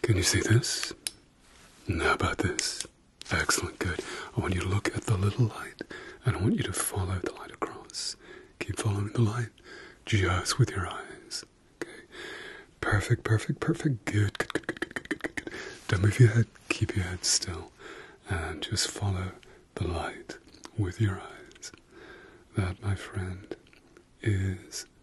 Can you see this? Now about this. Excellent, good. I want you to look at the little light and I want you to follow the light across. Keep following the light just with your eyes. Okay. Perfect, perfect, perfect. Good, good, good, good, good, good, good, good. Don't move your head. Keep your head still. And just follow the light with your eyes. That, my friend, is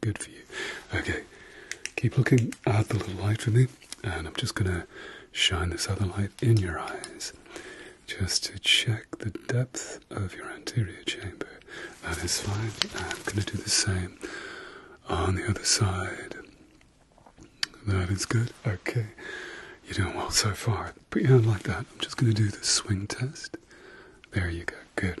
Good for you. Okay, keep looking at the little light for me, and I'm just going to shine this other light in your eyes just to check the depth of your anterior chamber. That is fine. I'm going to do the same on the other side. That is good. Okay, you're doing well so far. Put your hand like that. I'm just going to do the swing test. There you go. Good.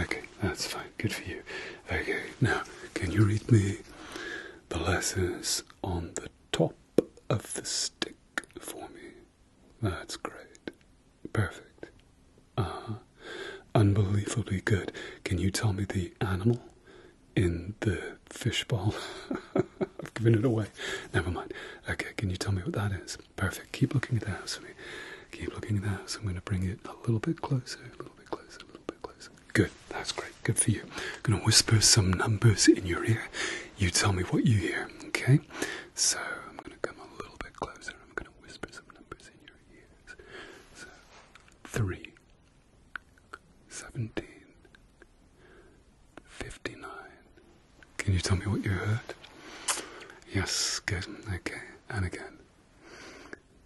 Okay, that's fine. Good for you. Okay, now can you read me the letters on the top of the stick for me? That's great. Perfect. Ah, Unbelievably good. Can you tell me the animal in the fish bowl? I've given it away. Never mind. Okay, can you tell me what that is? Perfect. Keep looking at that. So for Keep looking at that. So I'm going to bring it a little bit closer, a little bit closer, a little bit closer. Good, that's great, good for you. I'm gonna whisper some numbers in your ear. You tell me what you hear, okay? So I'm gonna come a little bit closer. I'm gonna whisper some numbers in your ears. So three, seventeen, fifty-nine. Can you tell me what you heard? Yes, good. Okay, and again.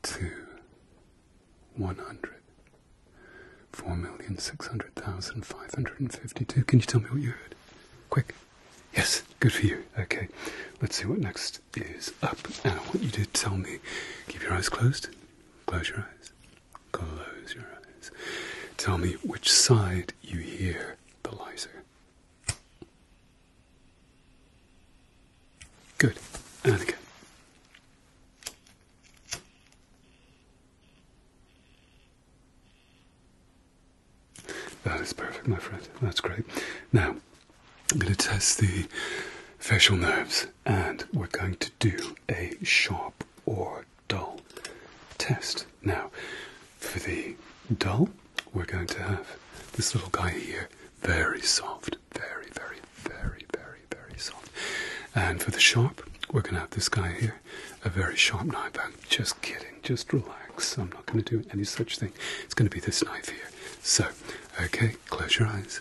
Two. One hundred. Four 100. 4,600,552. Can you tell me what you heard? Quick. Yes, good for you. Okay, let's see what next is up. And I want you to tell me. Keep your eyes closed. Close your eyes. Close your eyes. Tell me which side you hear the lighter. Good. And That is perfect, my friend. That's great. Now, I'm going to test the facial nerves and we're going to do a sharp or dull test. Now, for the dull, we're going to have this little guy here, very soft, very, very, very, very, very soft. And for the sharp, we're going to have this guy here, a very sharp knife. I'm just kidding, just relax. I'm not going to do any such thing. It's going to be this knife here. So, okay, close your eyes.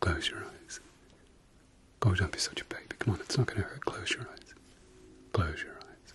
Close your eyes. Oh, don't be such a baby. Come on, it's not going to hurt. Close your eyes. Close your eyes.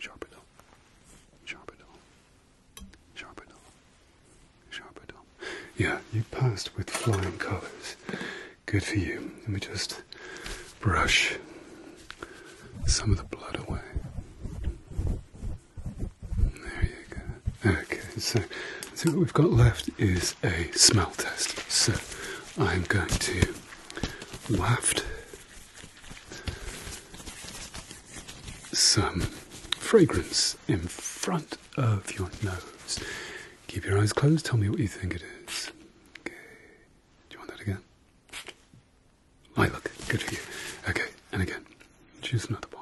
Sharpedo. Sharpedo. Sharpedo. Sharpedo. Yeah, you passed with flying colors. Good for you. Let me just brush some of the blood away. There you go. Okay, so I what we've got left is a smell test. So I'm going to waft some fragrance in front of your nose. Keep your eyes closed. Tell me what you think it is. Do you want that again? I look. Good for you. Okay. And again. Choose another bottle.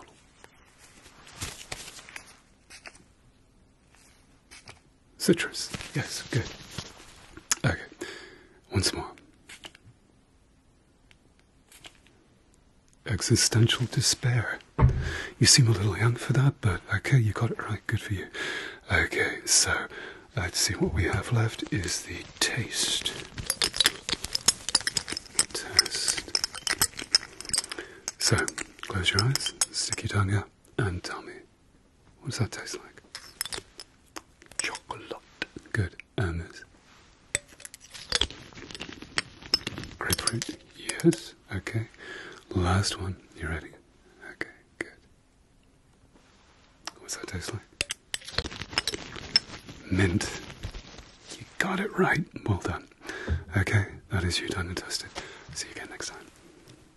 Citrus. Yes, good. Okay. Once more. Existential despair. You seem a little young for that, but okay, you got it right. Good for you. Okay, so let's see what we have left is the taste. Test. So, close your eyes, stick your tongue out, and tell me. What does that taste like? Chocolate. Good. Ermers. Grapefruit. Yes. Okay. Last one. You ready? Okay. Good. What's that taste like? Mint. You got it right. Well done. Okay. That is you done and tested. See you again next time.